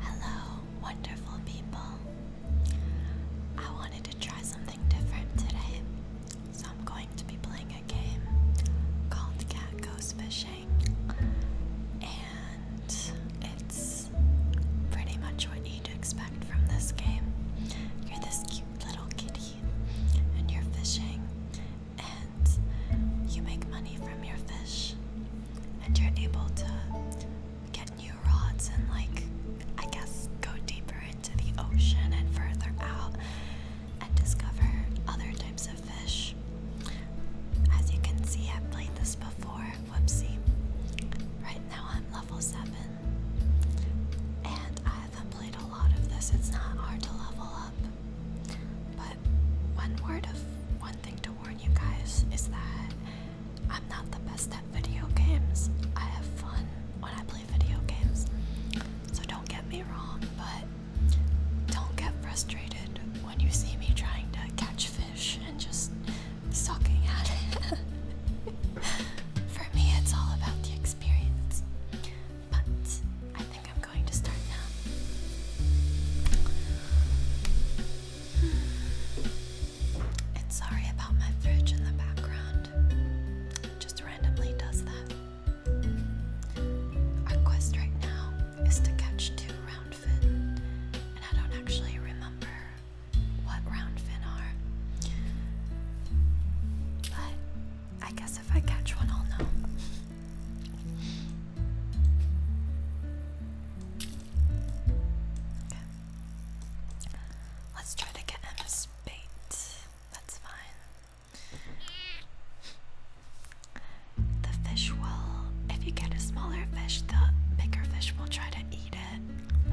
Hello, wonderful people. I wanted to try something different today, so I'm going to be playing a game called Cat Goes Fishing, and it's pretty much what you'd expect from this game. You're this cute little kitty, and you're fishing, and you make money from your fish and you're able to get new rods and, like, I guess go deeper into the ocean and further out and discover other types of fish. As you can see, I've played this before. Whoopsie. Right now I'm level 7. And I have played a lot of this. It's not hard to level up. But one word of one thing to warn you guys is that I'm not the best at video games. I have fun when I play video games. So don't get me wrong, but don't get frustrated when you see me trying to catch fish and just sucking at it. For me, it's all about the experience. But I think I'm going to start now. And sorry about my fridge in the background. just randomly does that. Our quest right now is to catch two roundfin, and I don't actually remember what roundfin are. But I guess if I catch one, I'll know. Let's try to get him a spate. That's fine. The fish will, if you get a smaller fish, the bigger fish will try to eat it.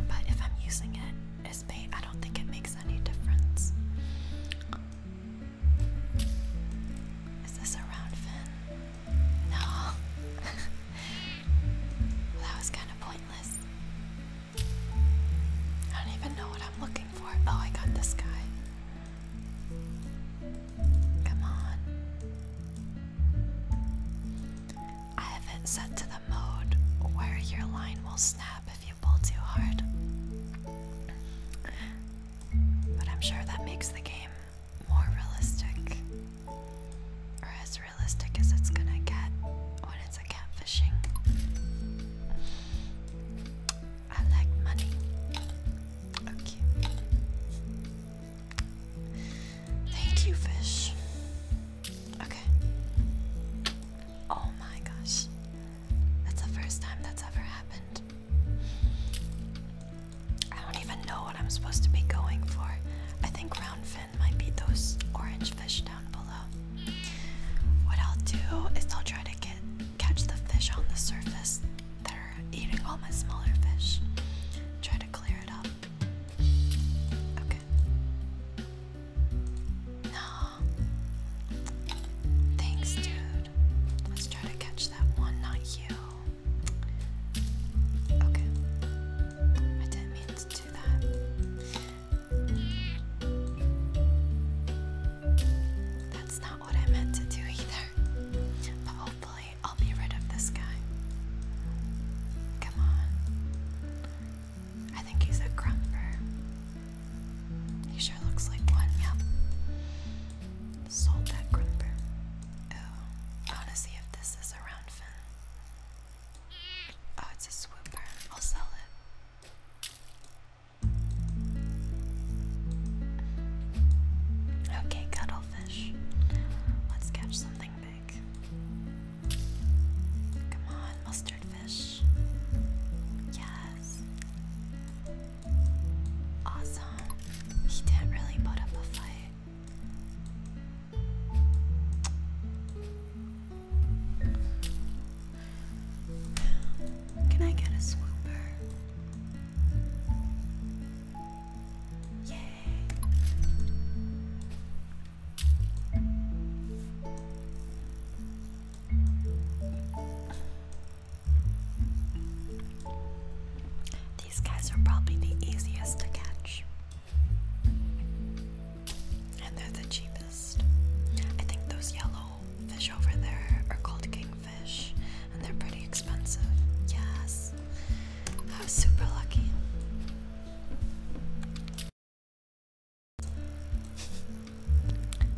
But if I'm using it as bait, I don't think it makes any difference. Is this a round fin? No. that was kind of pointless. I don't even know what I'm looking for. Oh, I got this guy. Come on. I have it set to the mode where your line will snap if you pull too hard. But I'm sure that makes the game more realistic, or as realistic as it's gonna get when it's a catfishing. I like money. Okay. Thank you, fish. Okay. Oh my gosh. That's the first time that's ever happened. I don't even know what I'm supposed to be going for. I think round fin might be those orange fish down below. What I'll do is I'll try to get catch the fish on the surface that are eating all my smaller fish. Try to clear it up. Okay. No. Thanks, dude. Let's try to catch that one, not you. Okay. I didn't mean to do that. That's not what I meant to do either. But hopefully, I'll be rid of this guy. Come on. I think he's a grumper. He sure looks like one, yep. Sold that grumper. I want to see if this is a round fin. Oh, it's a swooper. I'll sell it. Okay, cuttlefish. Let's catch something big. Come on, mustard fish. Yes. Awesome. He didn't really put up a fight. Can I get a swooper? Yay these guys are probably the easiest to catch. And they're the cheapest. I think those yellow fish over there are called kingfish, and they're pretty expensive. Yes, I was super lucky.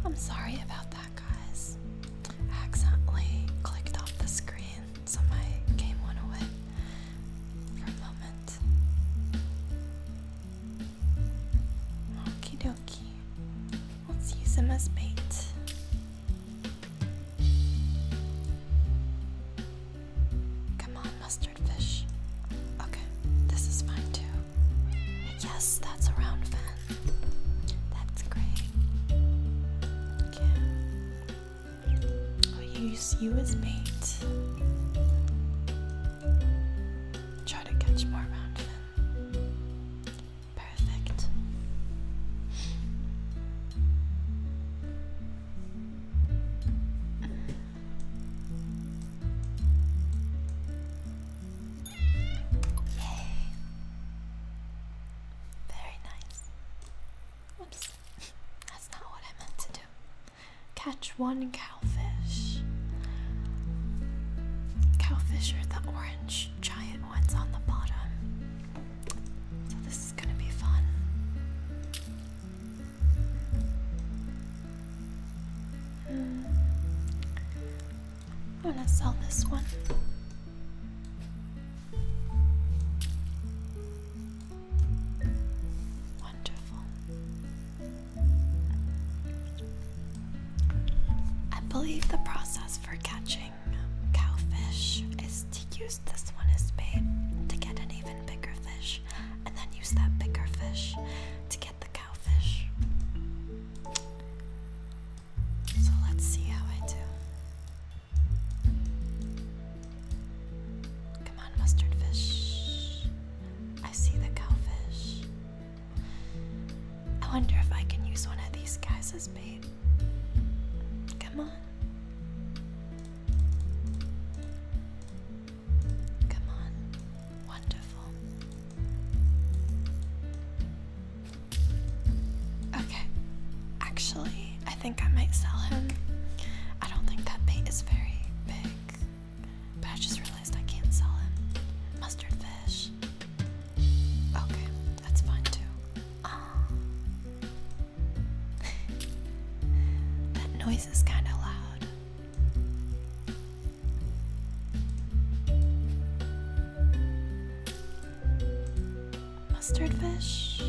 I'm sorry about that, guys. accidentally clicked off the screen so came one away for a moment. Okie dokie. Let's use him as bait. Come on, mustard fish. Okay, this is fine too. Yes, that's a round fan. That's great. Okay. I'll use you as bait. Try to catch more mountain. Perfect. Yay. Very nice. Oops, that's not what I meant to do. Catch one cowfish. Cowfish are the orange giant ones on the bottom. So this is gonna be fun. Hmm. I'm gonna sell this one. Wonderful. I believe the process for catching cowfish is to use this one as bait to get an even bigger fish and then use that bigger fish to get the cowfish. So let's see how I do. Come on, mustard I see the cowfish. I wonder if I can use one of these guys as bait. Come on. Come on. Wonderful. Okay. Actually, I think I might sell him. I don't think that bait is very big, but I just realized I can't sell him. Mustard fish. Okay, that's fine too. Ah. that noise is kind of loud. Mustard fish?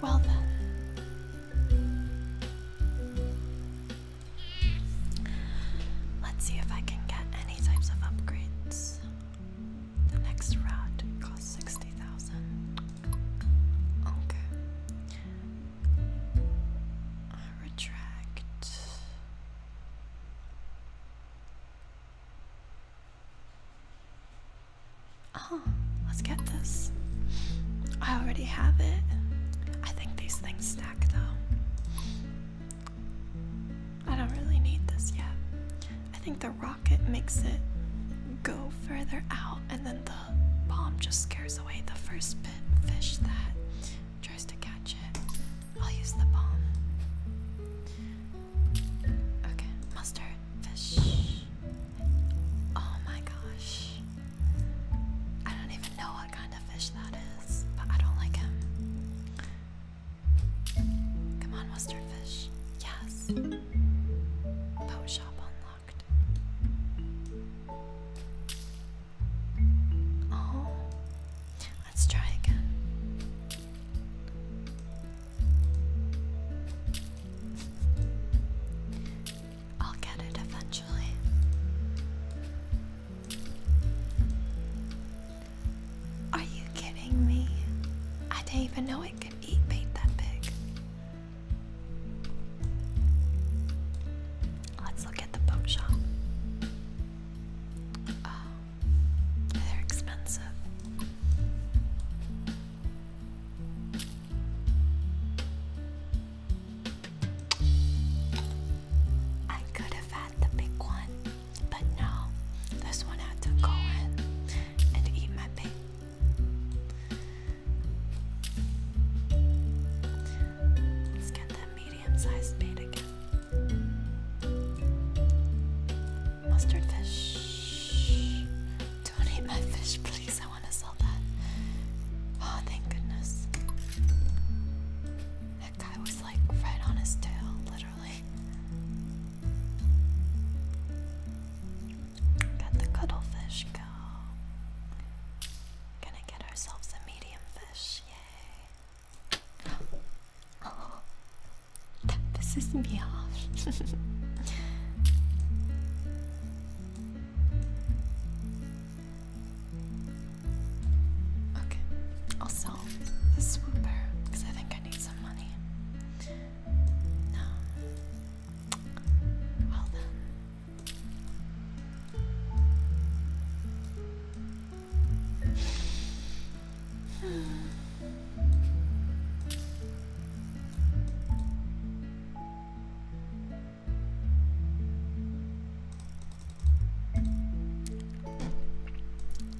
Well then. Let's see if I can get any types of upgrades. The next rod costs 60,000. Okay. retract. Oh, let's get this. I already have it. I think these things stack though. I don't really need this yet. I think the rocket makes it go further out, and then the bomb just scares away the first bit fish that tries to catch it. I'll use the bomb. Okay, mustard, fish. Oh my gosh. I don't even know what kind of fish that is, but I don't like him. Come on, mustard fish. Yes. Boat shop unlocked. Oh, let's try again. I'll get it eventually. Are you kidding me? I didn't even know it could eat bait that big. Let's look at the boat Oh, they're expensive. I could have had the big one, but no, this one had to go in and eat my pig. Let's get that medium sized bait again. Mustard don't eat my fish, please. I want to sell that. Oh, thank goodness. That guy was like right on his tail, literally. Got the cuttlefish go. Gonna get ourselves a medium fish, yay. Oh, that pisses me off. okay, I'll sell the swooper because I think I need some money. No. Well then.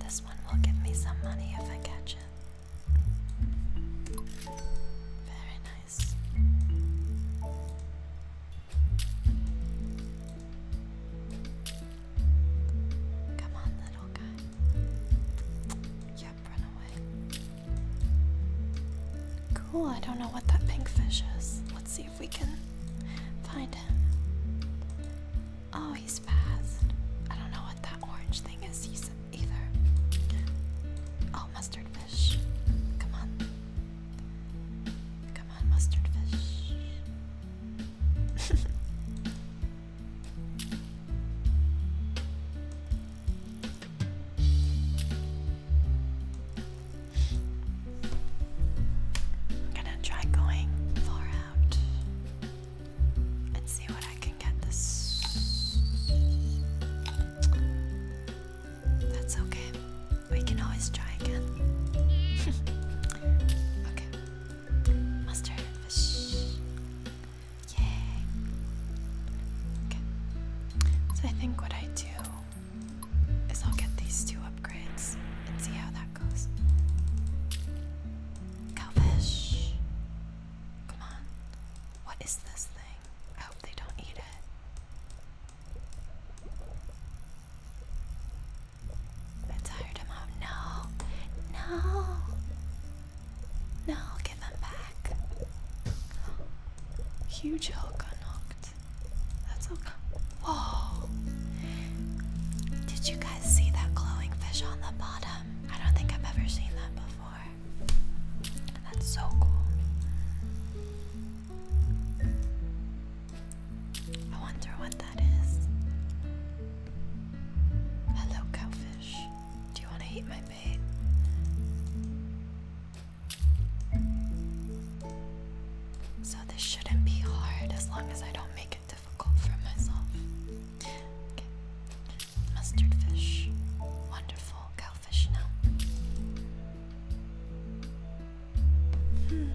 This one will give me some money if I catch it. Very nice. Come on, little guy. Yep, run away. Cool, I don't know what that pink fish is. Let's see if we can find him. Oh, he's fast. I don't know what that orange thing is either. Oh, mustard fish. Come on. Come on, mustard fish. I'm gonna try going far out and see what I can get this. That's okay. We can always try again. okay. Mustard Yay. So I think what I do is I'll get these two upgrades and see how that goes. Cowfish. Come on. What is this thing? I hope they don't eat it. I tired him out. No, no. No, give them back. Huge hill got knocked. That's okay. Whoa! Did you guys see that glowing fish on the bottom? I don't think I've ever seen that before. That's so cool. I wonder what that is. Hello, cowfish fish. Do you want to eat my bait? So, this shouldn't be hard as long as I don't make it difficult for myself. Mustard fish. Wonderful. Cowfish now. Hmm.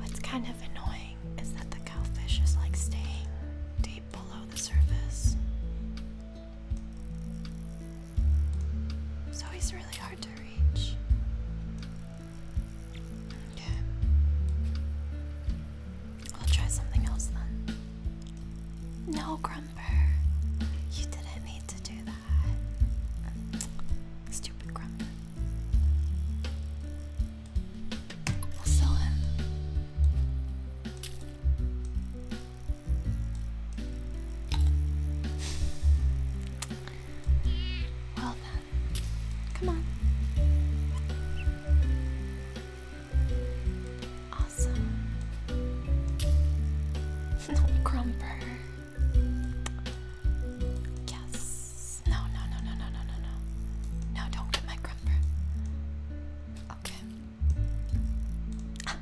What's kind of annoying thing is that the cowfish is like staying deep below the surface. So he's really hard to reach. Okay. We'll try something else then. No, Grumper. You didn't need to do that. Stupid Grumper. Excellent. Well then, come on. Awesome. Not Grumper. Yes. Yes. No, no, no, no, no, no, no, no. No, don't get my grumper. Okay. Ah,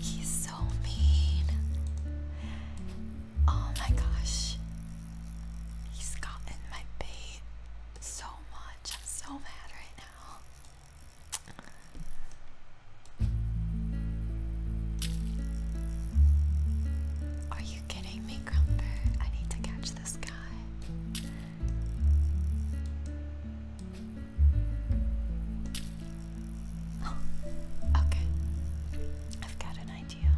he's so mean. Oh my gosh. He's gotten my bait so much. I'm so mad right now. Are you kidding me, Grumper? I need to catch Where's this oh, okay. I've got an idea.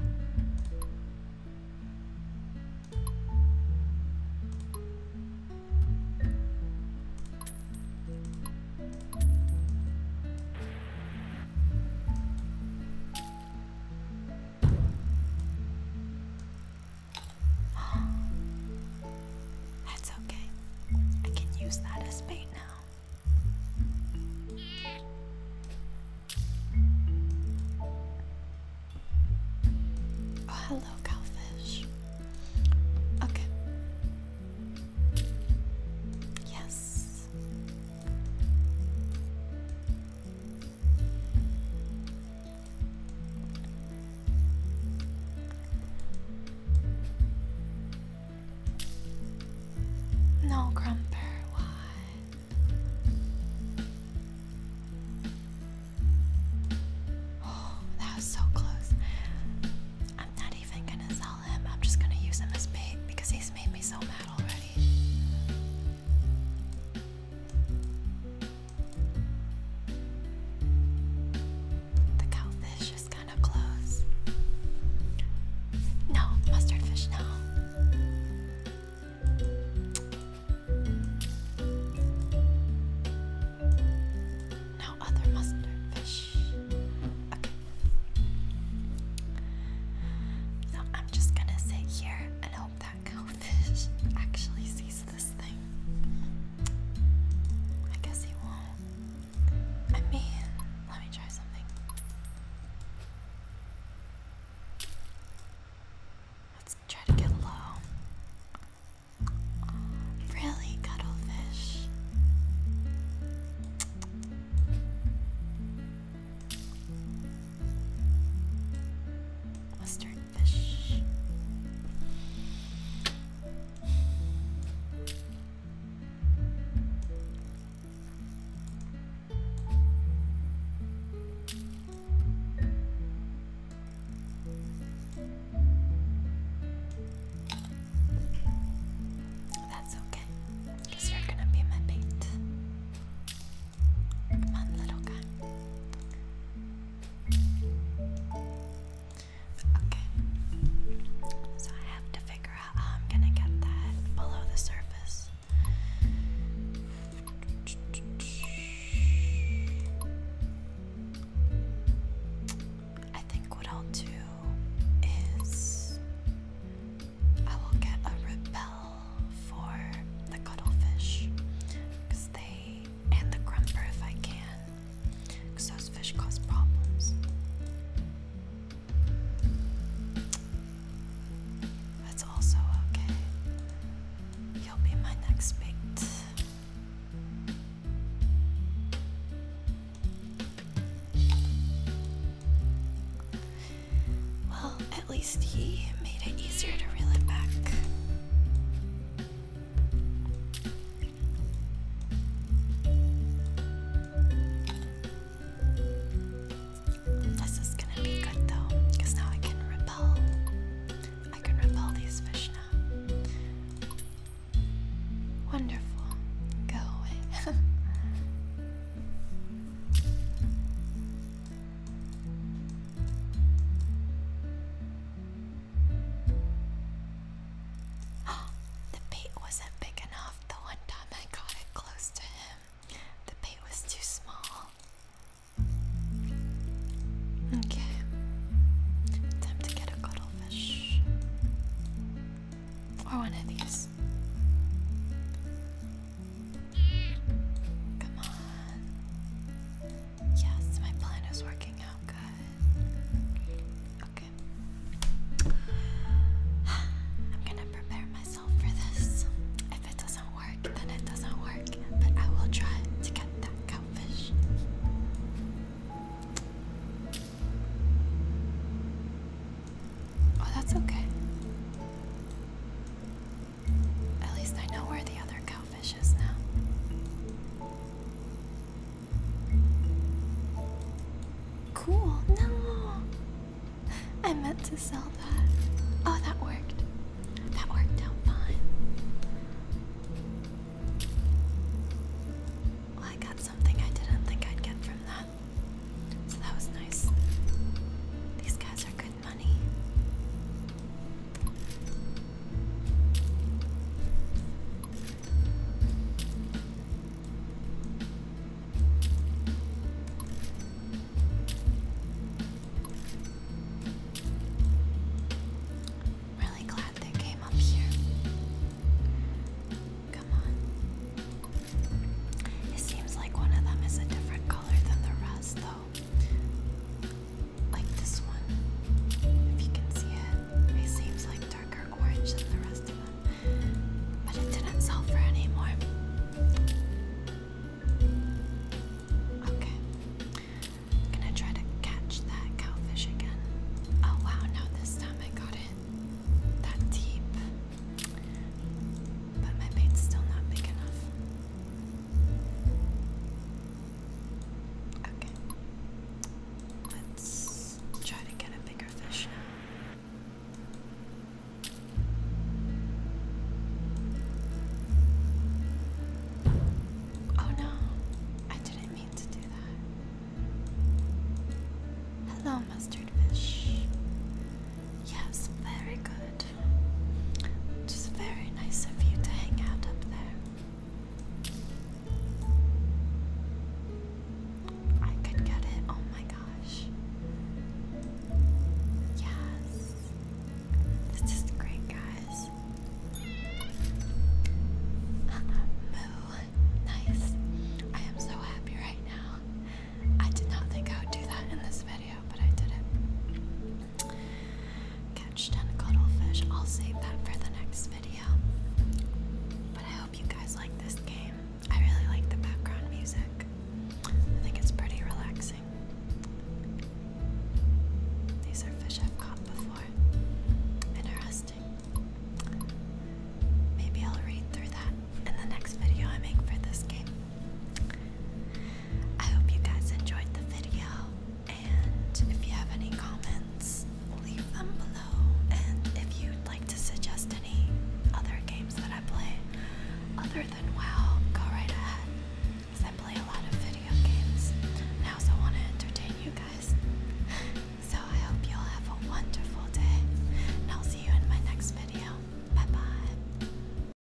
That's okay. I can use that as bait now. Oh, hello, cowfish. Okay. Yes. No, Grumper, why? Oh, that was so close. I'm not even gonna sell him, I'm just gonna use him as bait because he's made me so mad already. The cowfish is kind of close. No, mustard fish, no. No other mustard Okay. So I'm just gonna sit here and hope that actually sees this thing. I guess he won't. I mean, let me try something. Let's try to get low. really, cuttlefish? Mustard fish. That's okay, because you're gonna be my bait. Come on, little guy. Okay. So I have to figure out how I'm gonna get that below the surface. I think what I'll do is I will get a repel for the cuttlefish because they and the grumper if I can those fish cause problems. That's also okay. You'll be my next bait. Well, at least he made it easier to reel it back. This is gonna be good though, now I can repel. I can repel these fish now. Wonderful. Go away. the bait wasn't big enough the one time I got it close to him. The bait was too small. Okay. Time to get a cuttlefish. Or one of these. Come on. Yes, my plan is working out good. Okay. I'm gonna prepare myself for this. If it doesn't work, then it doesn't work. But I will try to get that cowfish. Oh, that's okay. At least I know where the other cowfish is now. Cool, no! I meant to sell that. Oh, that worked. That worked out fine. Well, I got something I didn't think I'd get from that. So that was nice. These guys are Really glad they came up here. Come on. It seems like one of them is a different color than the rest, though like this one, if you can see it, it seems like darker orange than the rest of them, but it didn't sell for any more. Okay, gonna try to catch that cowfish again. Oh wow, now this time I got it that deep, but my bait's still not big enough. Okay. Let's try to get a bigger fish now. Oh no, I didn't mean to do that. Hello, mustard fish. Yes, very good. Just very nice of you to hang out up there. I could get it. Oh my gosh. Yes. This is great, guys. Moo. Nice. I am so happy right now. I did not think I would do that in this video, but I did it. Catch 10 cuttlefish. I'll save that for the next video. But I hope you guys like this game. I really like the background music, I think it's pretty relaxing. These are fish I've caught before. Interesting. Maybe I'll read through that in the next video I make for this game. I hope you guys enjoyed the video. And if you have any comments, leave them below. And if you'd like to suggest any other games that I play other than WoW, go right ahead. Because I play a lot of video games. now, so I want to entertain you guys. So I hope you'll have a wonderful day. And I'll see you in my next video. Bye bye.